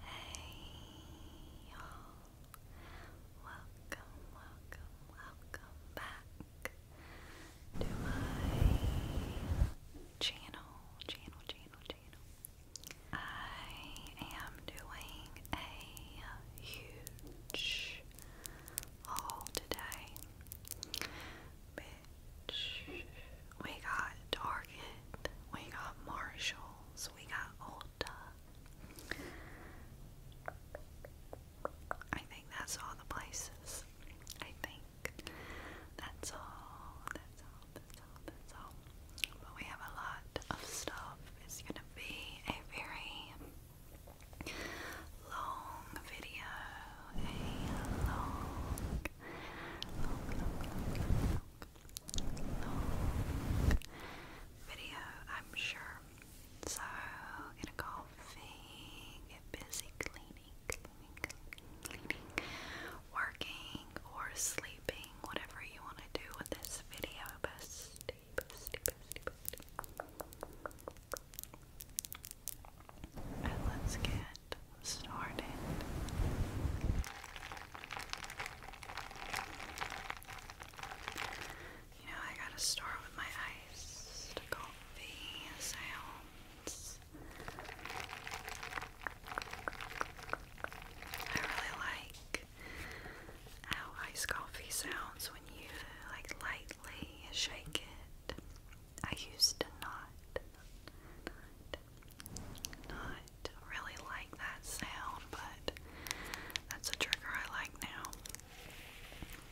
Hey y'all. Welcome, welcome, welcome back to my channel, channel, channel, channel. I am doing a huge haul today. Bitch. We got Target. We got Marshalls. We got Ulta. I think that's all the places. I think that's all. That's all. That's all. That's all. But we have a lot of stuff. It's gonna be a very long video, a long, long, long, long, long, long video, I'm sure. So, get a coffee, get busy cleaning, cleaning, cleaning, cleaning, working or sleeping, whatever you want to do with this video, bestie, bestie, bestie, bestie let's get started. You know, I gotta start with my iced coffee sounds. I really like how iced coffee sounds when you like lightly shake it. I used to not, not, really like that sound, but that's a trigger I like now.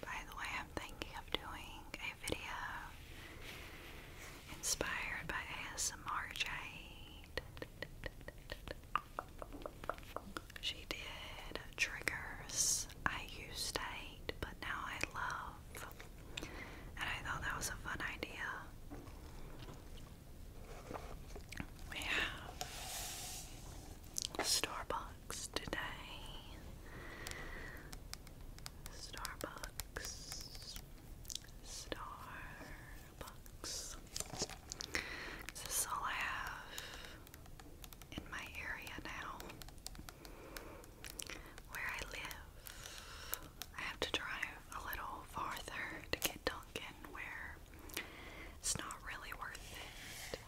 By the way, I'm thinking of doing a video inspired by ASMR Jade. She did triggers I used to hate, but now I love. And I thought that was a fun idea. We have Starbucks today. Starbucks. Starbucks. This is all I have in my area now where I live. I have to drive a little farther to get Duncan, where it's not really worth it.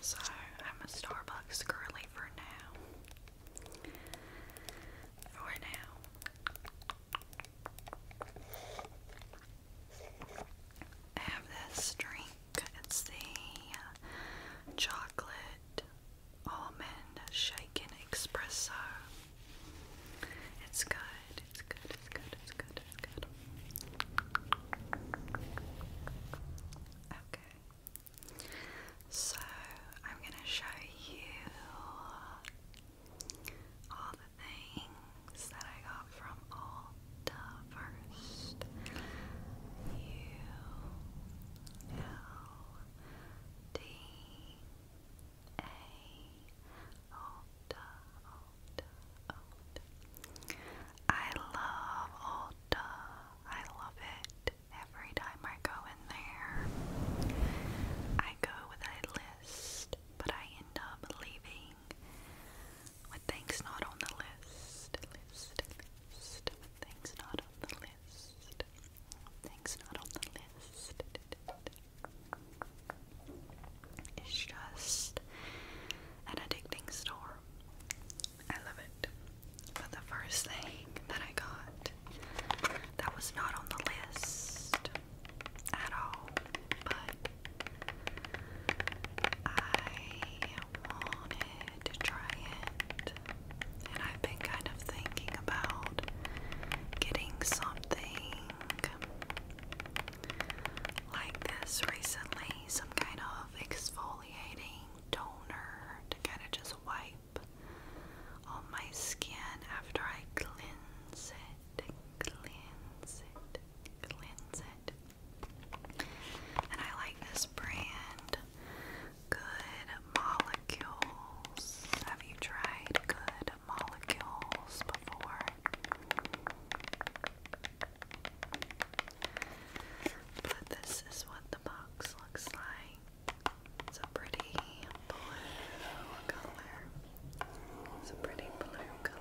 So I'm a Starbucks girly for now. For now. I have this drink. It's the uh, chocolate almond shaken espresso. It's good. It's good. It's good. It's good. It's good. Okay. So I'm gonna show you all the things that I got from all first. U L D A Ulta, Ulta, Ulta. I love Ulta. I love it. Every time I go in there, I go with a list, but I end up leaving with things not on the list, list, list. With things not on the list, things not on the list. It's just an addicting store. I love it. But the first thing that I got that was not on the list at all, but I wanted to try it, and I've been kind of thinking about getting something like this recently some kind of exfoliating toner to kind of just wipe on my skin after I cleanse it, cleanse it, cleanse it. And I like this brand, Good Molecules. Have you tried Good Molecules before? But this is what the box looks like. It's a pretty blue color. It's a pretty blue color.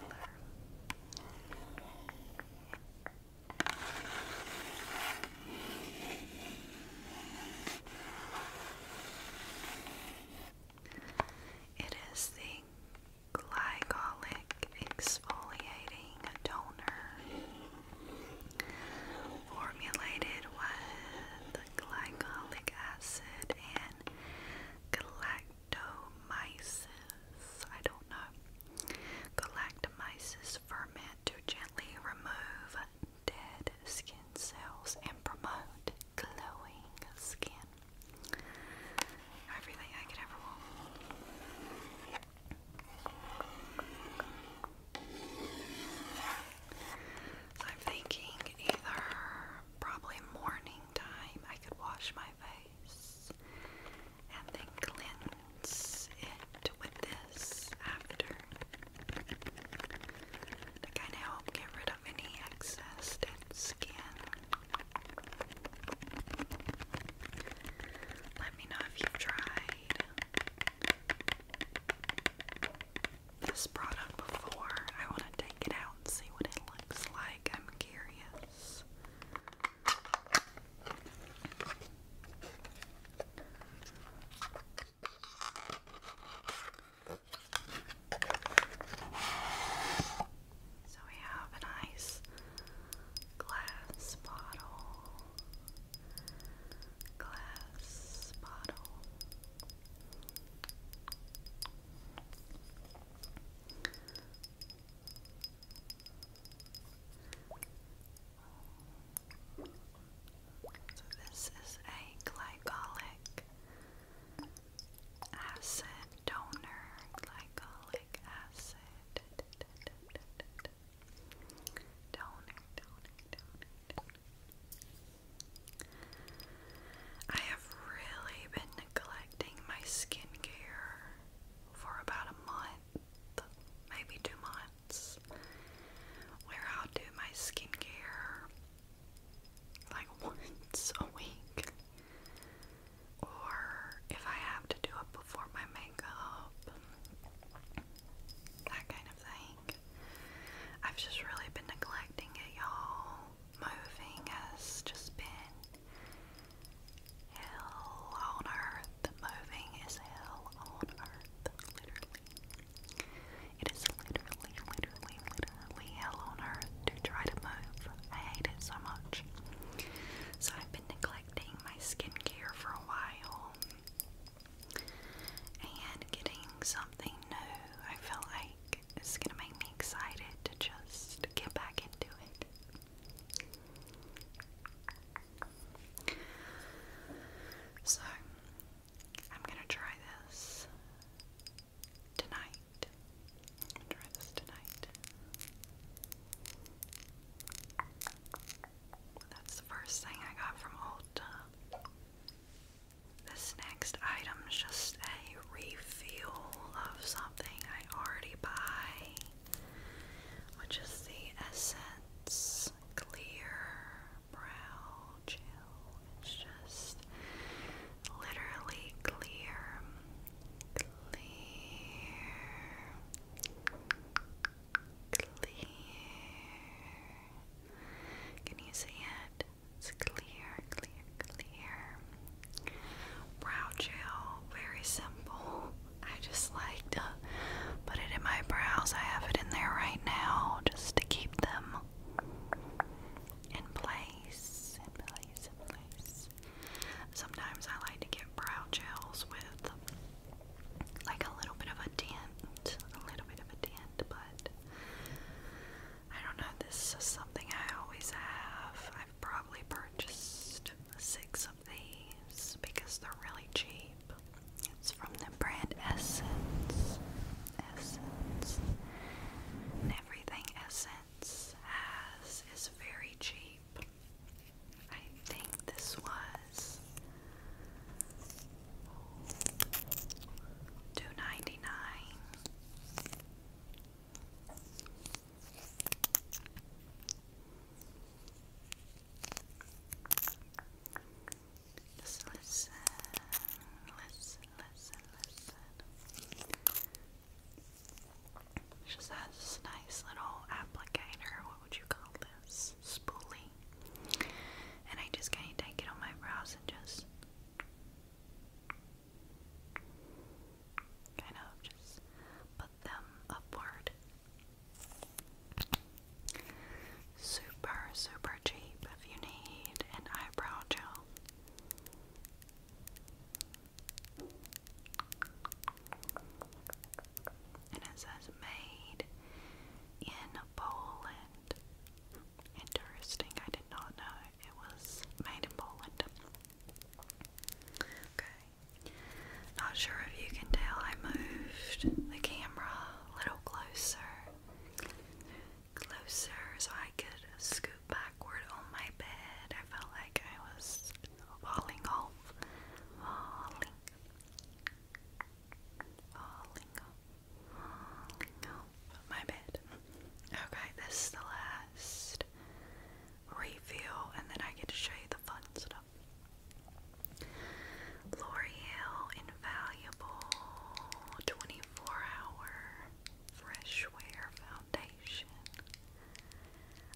It is the glycolic exfoliating toner formulated with glycolic acid and galactomyces. I don't know. Galactomyces ferment to gently remove dead skin cells and promote glowing skin. Everything I could ever want. So I'm thinking either probably morning time I could wash my face and then cleanse it with this after to kind of help get rid of any excess dead skin. Let me know if you've tried this product before. I want to take it out and see what it looks like. I'm curious. So we have a nice glass bottle, glass bottle this is a glycolic acid donor, glycolic acid donor. I have really been neglecting my skincare for about a month maybe two months, where I'll do my skincare like once a week. Or if I have to do it before my makeup, that kind of thing. I've just really been neglecting it, y'all. Moving has just been Hell on earth. Moving is hell on earth. Literally. It is literally, literally, literally hell on earth to try to move. I hate it so much. So I've been neglecting my skincare for a while and getting something new. I feel like it's gonna make me excited to just get back into it. So, I'm gonna try this tonight. try this tonight. That's the first thing I got from Ulta. This next item just a refill of something I already buy which is the Essence Clear Brow Gel. It's just literally clear, clear, clear. Can you see it? It's clear, clear, clear. Brow gel, very simple. I just like to uh, put it in my brows. I have it in there right now just to keep them in place. Sometimes I like to get brow gels with like a little bit of a dent. A little bit of a dent, but I don't know. This is something I always have. I've probably purchased six these because they're really cheap. It's from the brand Essence. Essence. And everything Essence has is very cheap. I think this was two ninety nine. Just listen, listen, listen, listen. She just has nice little applicator. What would you call this? Spoolie. And I just kind of take it on my brows and just kind of just put them upward Super, super cheap if you need an eyebrow gel. And it says made in Poland. Interesting, I did not know it was made in Poland. Okay, Okay. Not sure if you can tell I moved the camera a little closer. Closer so I could scoot backward on my bed. I felt like I was falling off. Falling. Falling off. my bed. Okay, this is the last refill and then I get to show you the fun stuff. L'Oreal Invaluable 24 Hour Fresh Wear Foundation.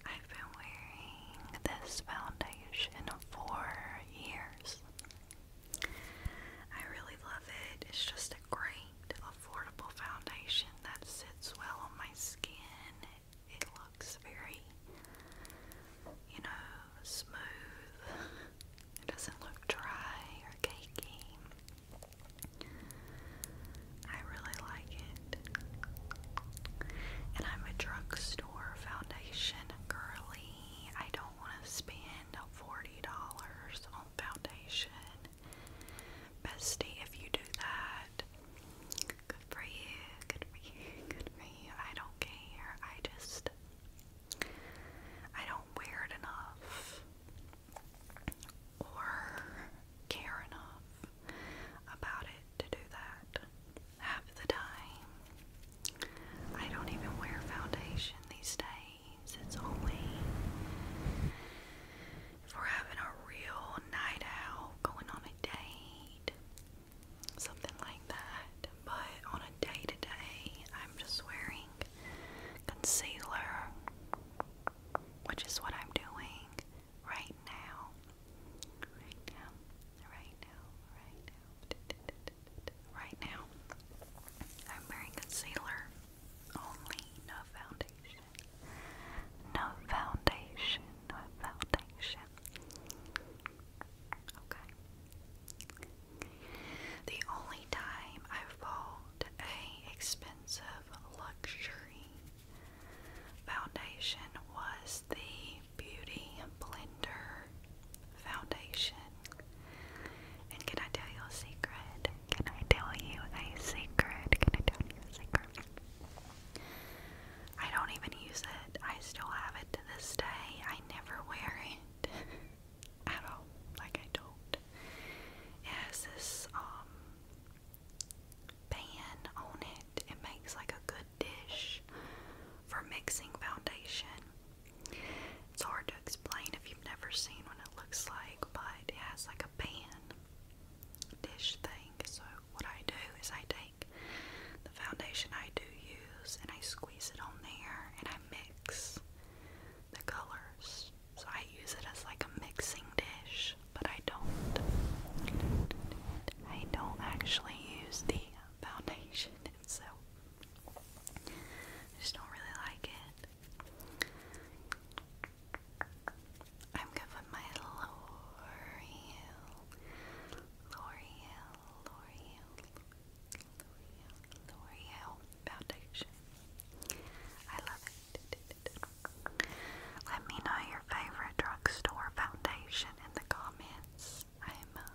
I've been wearing this foundation for years. I really love it. It's just a great, affordable foundation that sits well on my skin it looks very, you know, smooth. It doesn't look dry or cakey. I really like it. And I'm a drugstore foundation girlie. I don't want to spend $40 on foundation. Bestie, if you do that, for you. Good for you. Good for you. I don't care. I just I don't wear it enough or care enough about it to do that. Half the time, I don't even wear foundation these days. It's only if having a real night out, going on a date, something like that. But on a day to day, I'm just wearing concealer, which is what I'm doing right now. Right now, right now, right now, right now. I'm wearing concealer only, no foundation. No foundation, no foundation, Okay. The only time I've bought a expensive luxury foundation was the Beauty Blender foundation. And can I tell you a secret? Can I tell you a secret? Can I tell you a secret? I don't even use it. I still have it to this day. I never wear it at all. Like I do It has this um pan on it. It makes like a good dish for mixing foundation. It's hard to explain if you've never seen what it looks like, but it has like a pan dish thing. So what I do is I take the foundation I do use, and I squeeze it on there and I mix the colors. So I use it as like a mixing dish, but I don't. I don't actually use the foundation so I just don't really like it. I'm good my lower heel, L'Oreal, L'Oreal, L'Oreal, L'Oreal foundation. I love it. Let me know your favorite drugstore foundation in the comments. I'm uh,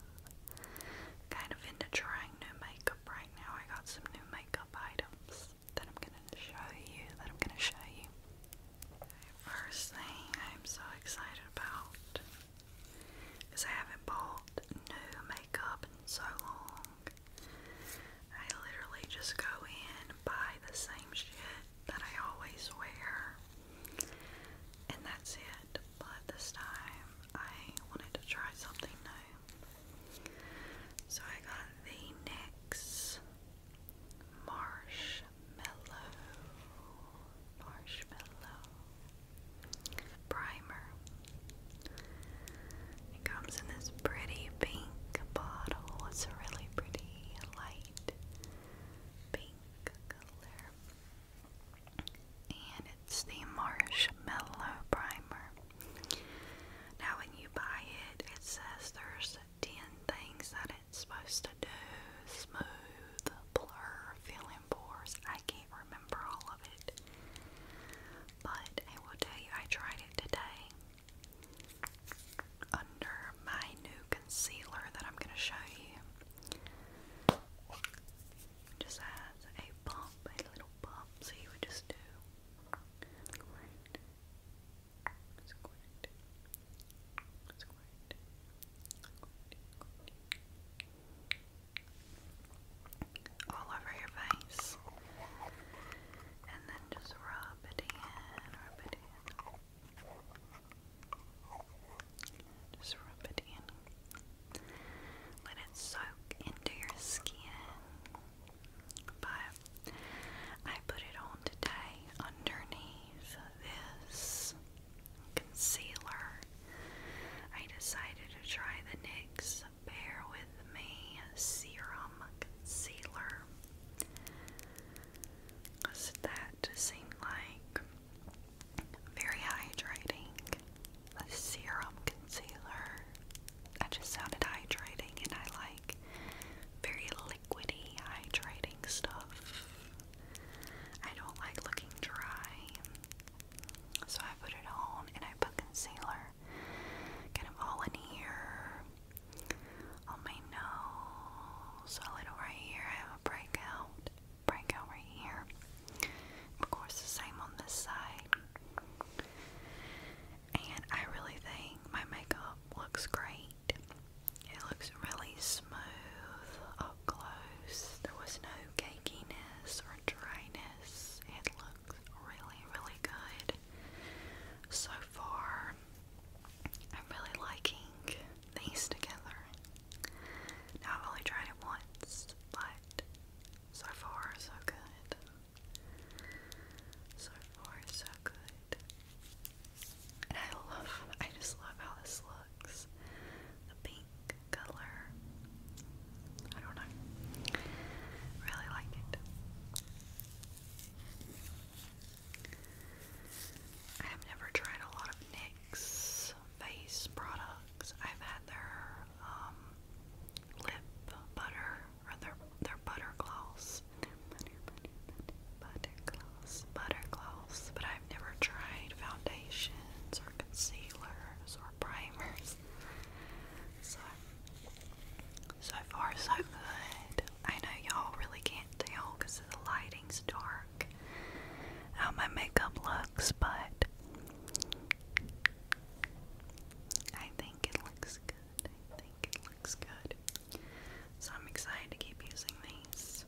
kind of into trying new makeup right now. I got some new makeup items that I'm gonna show you. That I'm gonna show you first thing I'm so excited about is I haven't bought new makeup in so long. I literally just go in and buy the same shit that I always wear, and that's it. But this time I wanted to try something new. So I got the NYX Marsh Marshmallow Primer. It comes in this pretty pink bottle. It's a really pretty light pink color. And it's the Marshmallow Primer. Now, when you buy it, it says there's 10 things that it's supposed to do. Smooth, blur, fill pores. I can't remember all of it. But I will tell you, I tried it today under my new concealer that I'm going to show you. just has a bump, a little bump, so you would just do. It's quite, all over your face, and then just rub it in, just rub it in. Let it soak into your skin. But I put it on today underneath this concealer. I decided to try the NYX Bear With Me Serum Concealer. Because that seemed like very hydrating. A serum concealer. I just sounded hydrating and I like very liquidy hydrating stuff. I don't like looking dry. So I put it on and I put concealer kind of all in here, on my nose, a little right here. I have a breakout, breakout right here. Of course, the same on this side. And I really think my makeup looks great it looks really smooth up close. There was no cakeiness or dryness. It looks really, really good so far. I'm really liking these together. Now I've only tried it once, but so far so good. So far so good. I love, I just love how this looks. The pink color. I don't know. Really like it. I have never tried a lot of NYX face products. I've had their um, lip butter or their their butter gloss. butter butter butter butter gloss, but I've never tried foundations or concealers or primers. So, so far so good. I know y'all really can't tell because the lighting's dark how my makeup looks, but I think it looks good. I think it looks good. So I'm excited to keep using these.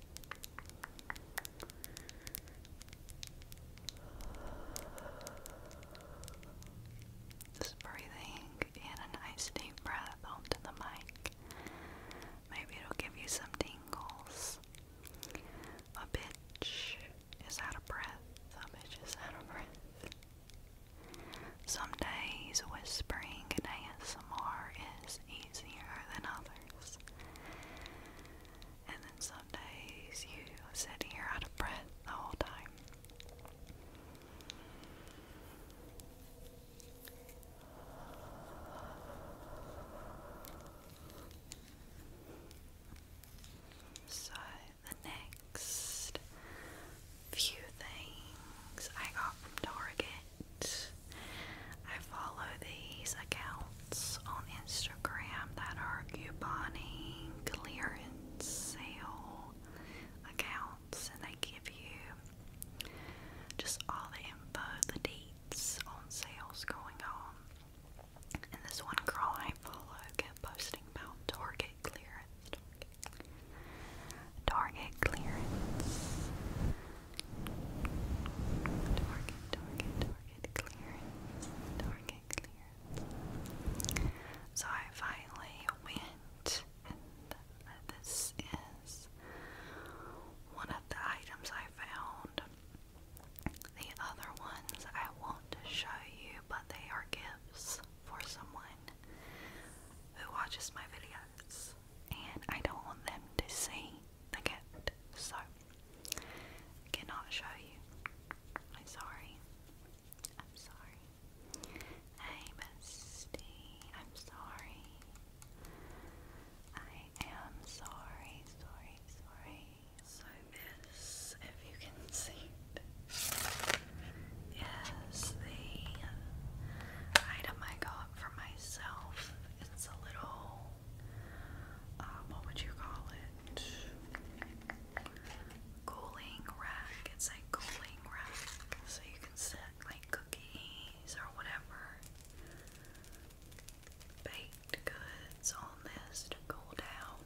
Just breathing in a nice deep breath onto the mic. Maybe it'll give you some tingles. A bitch is out of breath. A bitch is out of breath. Some days whispering in ASMR is easier than others this. And then some days you sit here out of breath the whole time. So, the next few things I got from Target I follow these accounts on Instagram that are couponing, clearance, sale accounts, and they give you just all the info, the dates on sales going on. And this one girl I follow kept posting about Target clearance. Target, Target clearance. Target, target, target clearance. Target clearance. So I finally went, and uh, this is uh, one of the items I found. The other ones I want to show you, but they are gifts for someone who watches my videos and I don't want them to see the gift, so cannot show you. I'm sorry. I'm sorry. Hey, I'm sorry. I am sorry, sorry, sorry. So this, if you can see it, is the uh, item I got for myself it's a little, um, what would you call it? Cooling rack. It's a cooling rack, so you can set like cookies or whatever baked goods on this to cool down.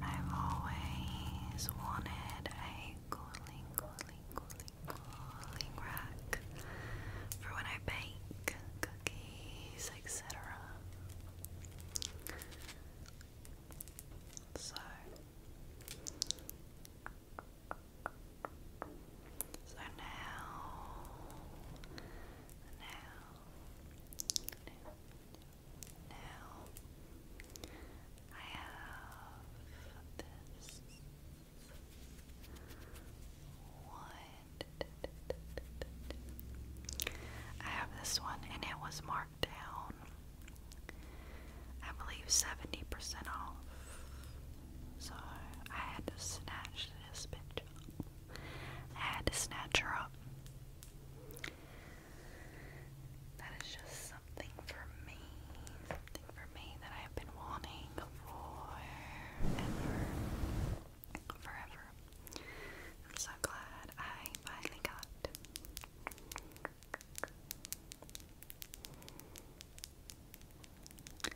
I've always wanted a cooling, cooling, cooling, cooling rack for when I bake cookies, etc. So so now, now, now, I have this one. I have this one, and it was marked down. I believe 70% off. So I had to snatch this bitch up. I had to snatch her up. That is just something for me, something for me that I have been wanting forever, forever. I'm so glad I finally got. The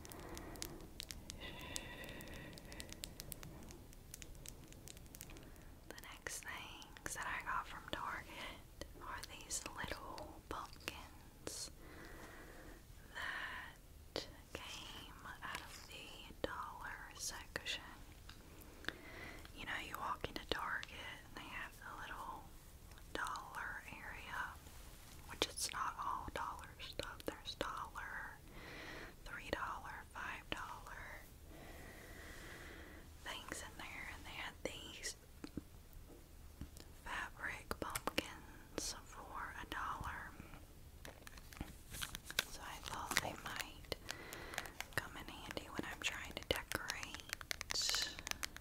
next things that I got from Target are these little pumpkins that came out of the dollar section. You know, you walk into Target and they have the little dollar area, which it's not all dollar stuff. There's dollar three dollar, five dollar things in there, and they had these fabric pumpkins for a dollar. So I thought they might come in handy when I'm trying to decorate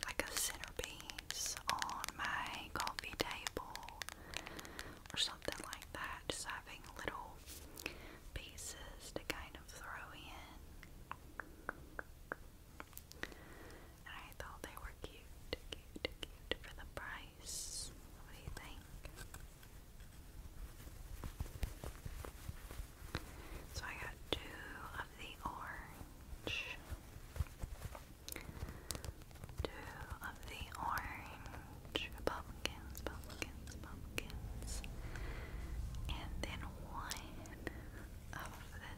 like a centerpiece on my coffee table or something like that. Just having little pieces to kind of throw in. I thought they were cute, cute, cute for the price. What do you think? So I got two of the orange two of the orange pumpkins, pumpkins, pumpkins, and then one of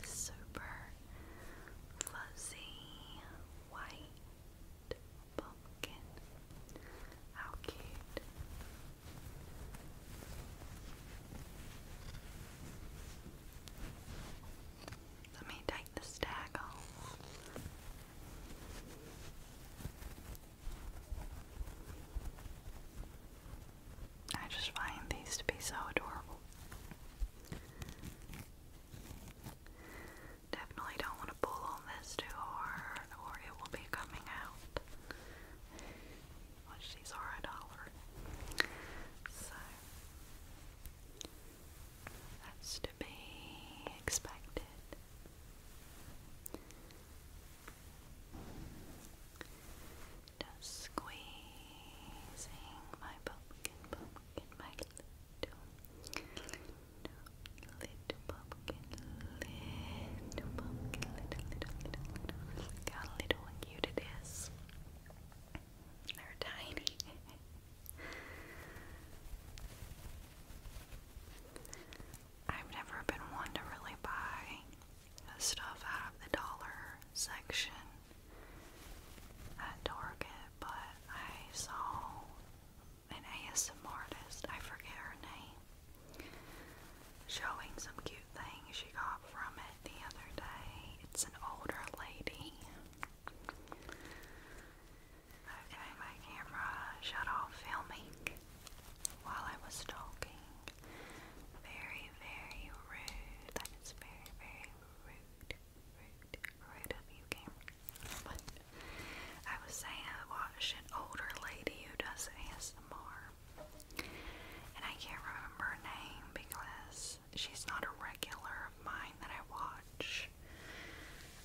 the super fuzzy white pumpkin. How cute! Let me take the stack I just find these to be so adorable. Definitely don't want to pull on this too hard or it will be coming out. Which these are a dollar. So that's to be expected. Just squeezing my pumpkin, pumpkin, my little, little, little little pumpkin, little, little, little, little. Look how little and cute it is. They're tiny. I've never been one to really buy stuff out of the dollar section at Target, but I saw an ASM artist, I forget her name, showing some cute things she got from it the other day. It's an older lady. Okay, my camera shut off filming while I was talking. Very, very rude. That is very, very rude. Rude, rude of you, camera. But I was saying I watch an older lady who does ASMR. And I can't remember her name because she's not a regular of mine that I watch.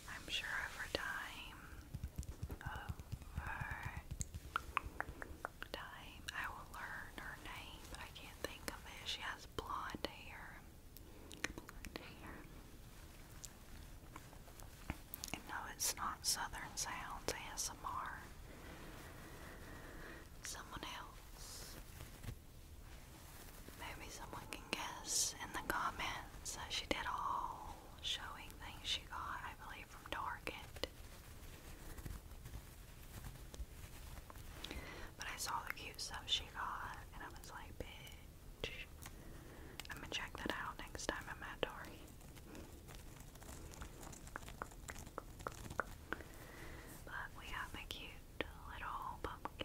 I'm sure over time, over time, I will learn her name. I can't think of it. She has blonde hair. no, it's not Southern Sounds ASMR. Someone else. Maybe someone can guess in the comments. Uh, she did all showing things she got, I believe, from Target. But I saw the cute stuff she got, and I was like, bitch. I'm gonna check that out next time I'm at Target. But we got my cute little pumpkin.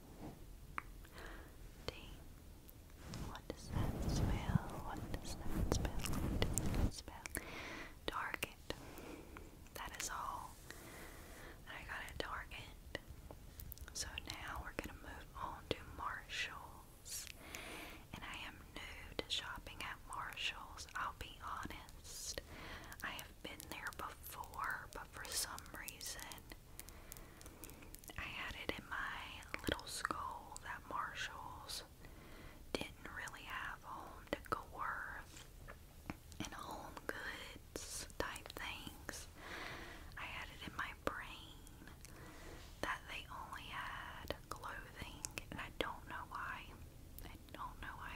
D. What does that spell? What does that spell? What does that spell? Target. That is all I got at Target. So now we're gonna move on to Marshalls. And I am new to shopping at Marshalls, I'll be honest. I have i been there before, but for some reason, I had it in my little skull that Marshall's didn't really have home decor and home goods type things. I had it in my brain that they only had clothing, and I don't know why. I don't know why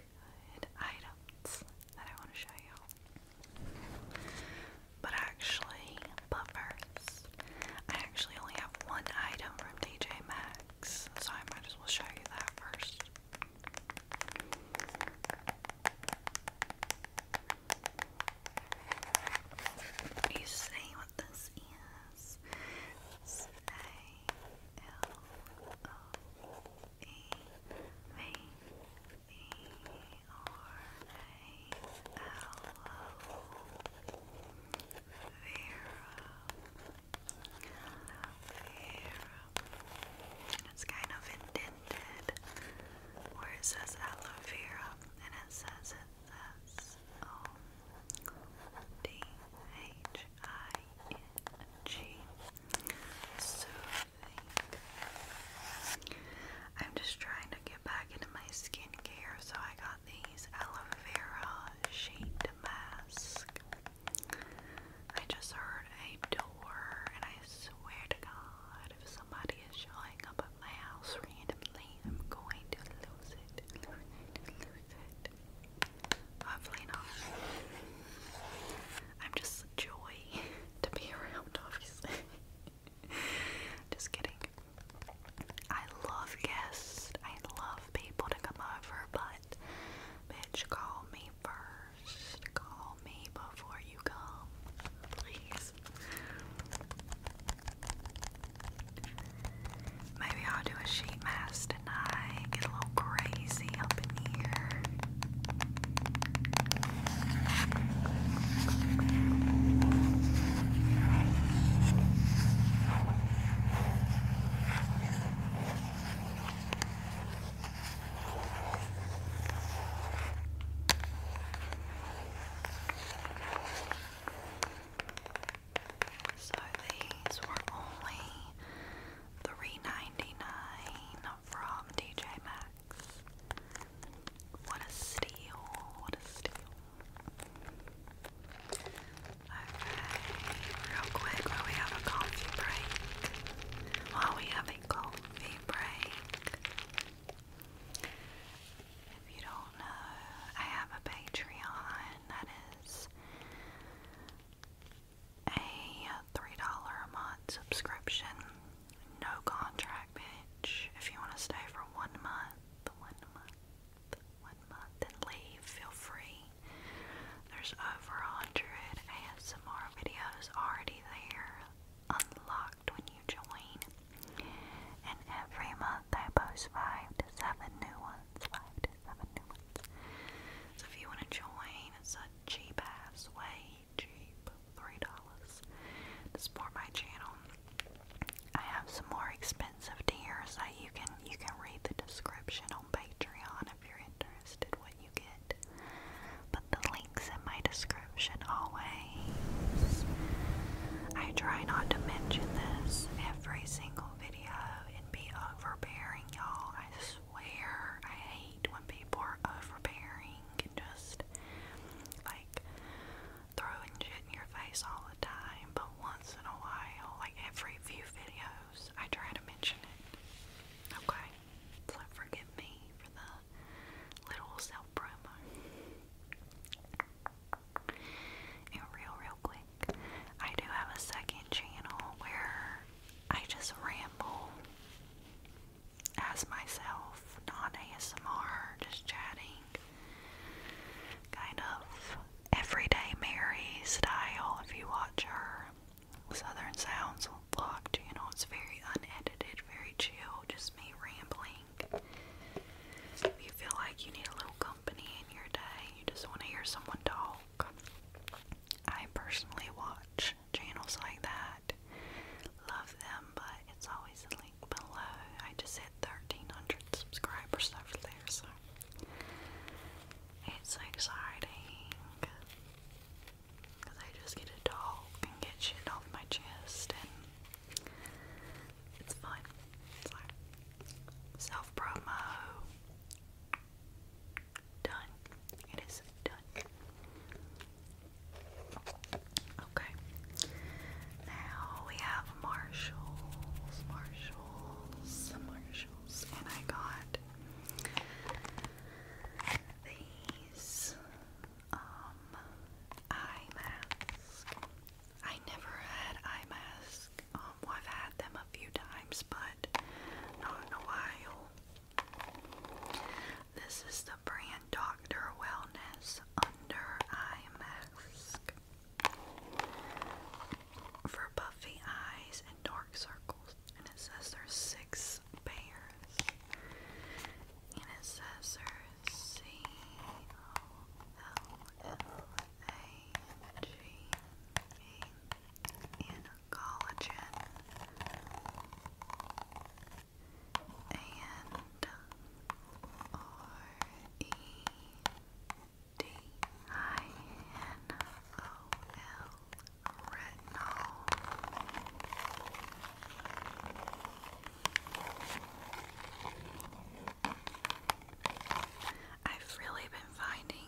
good items that I want to show you. But actually, but first, I actually only have one item from DJ Maxx, so I might as well show you that first. You see what this is? It's A L O it's kind of indented where it says aloe vera and it says it O um, D H I N G so I'm just trying to get back into my skincare, so I got these aloe vera shaped mask. I just heard a door, and I swear to God, if somebody is showing up at my house randomly, I'm going to lose it. Hopefully not. I'm just joy to be around, obviously. just kidding. I love guests. I love people to come over, but bitch, call me first. Call me before you come, please. Maybe I'll do a sheet mask I Get a little crazy up in here. So these were only Three ninety nine from DJ Maxx. What a steal! What a steal! Okay, real quick, while we have a coffee break, while we have a coffee break, if you don't know, I have a Patreon that is a $3 a month subscription. No contract, bitch. If you want to stay for one month, one month, one month, and leave, feel free. There's over a hundred ASMR videos already there, unlocked when you join. And every month I post five to seven new ones. Five to seven new ones. So if you want to join, it's cheap ass, way cheap, three dollars to support my channel. I have some more expensive tiers that you can you can read the description on Patreon if you're interested what you get. But the links in my description always. I try not to mention this every single video and be overbearing, y'all. I where I hate when people are overbearing and just like throwing shit in your face all the time, but once in a while, like every few videos, I try to mention it. Okay? So forgive me for the little self promo. And real, real quick, I do have a second channel where I just ramble as myself, not ASMR, just chatting, kind of everyday Mary style if you watch her Southern Sounds You know, It's very unedited, very chill, just me rambling. If you feel like you need a little company in your day, you just want to hear someone talk. I personally watch channels like that. Love them, but it's always a link below. I just hit 1300 subscribers over there, so it's exciting because I just get to talk and get shit off my chest, and it's fun. It's like self promo done. It is done. Okay. Now we have Marshalls, Marshalls, Marshalls, and I got these um eye mask. I never had eye mask. Um, I've had them a few times, but not in a while. This is the brand Dr. Wellness Under Eye Mask for puffy eyes and dark circles. And it says there's six pairs. And it says there's C O L L A G E N collagen and R E D I N O L retinol. I've really been finding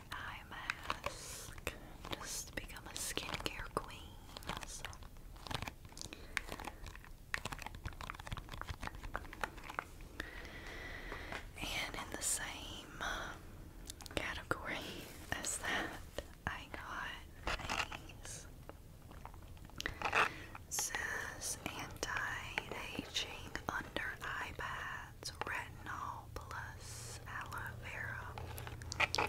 this eye mask just become a skincare queen. And in the same uh, category as that, I got these. Says anti-aging under eye bath that's retinol plus aloe vera.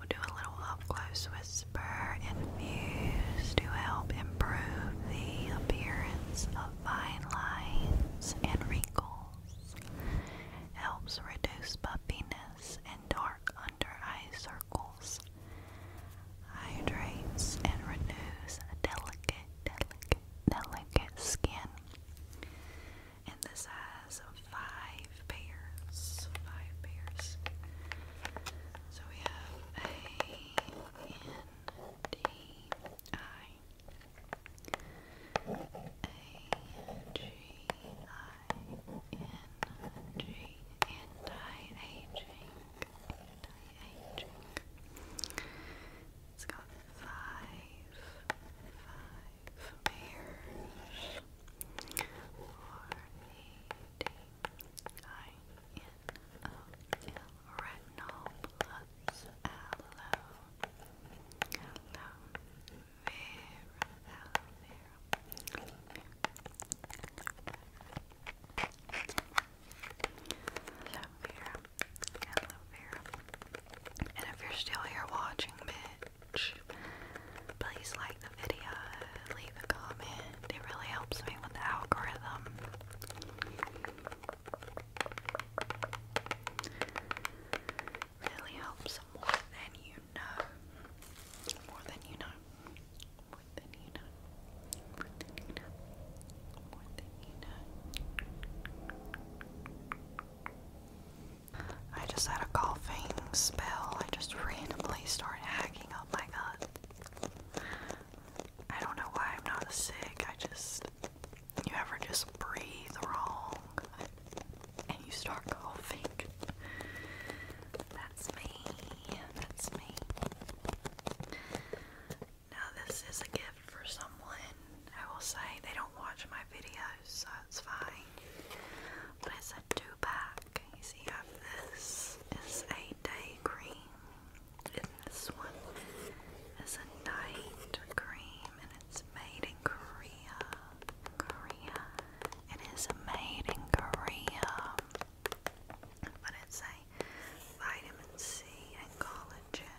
we do a little up close whisper infuse to help improve the appearance of fine lines and wrinkles. Helps reduce puffiness and dark under eye circles. Hydrates and renews delicate, delicate, delicate skin and this has five pairs. Five pairs. So we have A N D I A G I N G anti-aging. Anti-aging. It's got five, five, from hairs or A-D-I-N-O-L retinol plus aloe aloe vera aloe vera aloe vera Aloe And if you're still here watching, bitch, please like the video, leave a comment. It really helps me with the algorithm. Really helps More than you know. More than you know. More than you know. More than you know. I just had a coughing spell. I just randomly started hacking up my gut. I don't know why I'm not sick. I just. You ever just breathe wrong and you start coughing? That's me. That's me. Now, this is a gift for someone. I will say they don't watch my videos so it's fine. But it's a two pack. You see, this is a day cream, and this one is a night cream, and it's made in Korea. Korea. It is made in Korea, but it's a vitamin C and collagen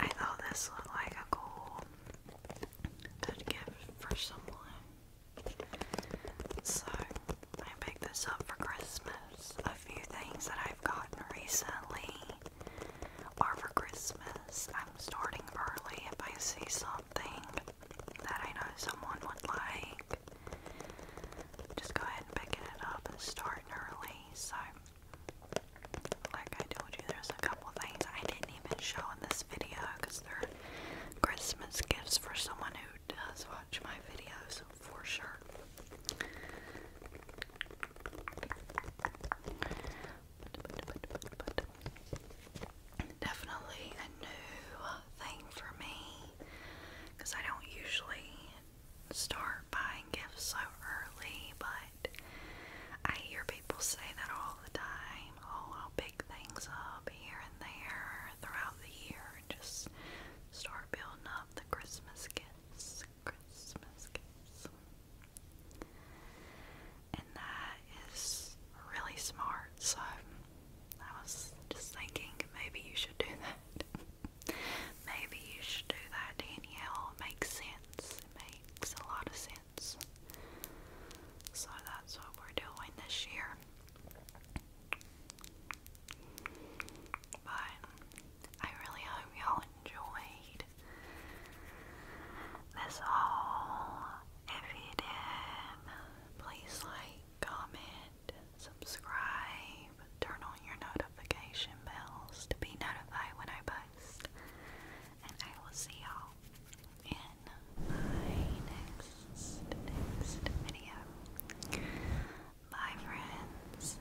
I thought this looked like a goal to give for someone. So I picked this up for Christmas. A few things that I've gotten recently are for Christmas. I'm starting early if I see something that I know someone would like. Just go ahead and pick it up and start early. So, like I told you, there's a couple things I didn't even show in this video because they're Christmas gifts for someone who does watch my videos for sure. Definitely a new thing for me because I don't usually start buying gifts so early, but I hear people say that all the time. Oh, i pick things up here and there throughout the year and just start building up the Christmas gifts. Christmas gifts. And that is really smart, so I was just thinking maybe you should do that. maybe you should do that, Danielle. makes sense. makes a lot of sense. So that's what we're doing this year. But I really hope y'all enjoyed this haul. If please like comment, subscribe, turn on your notification bells to be notified when I post. And I will see y'all in my next next video. Bye friends.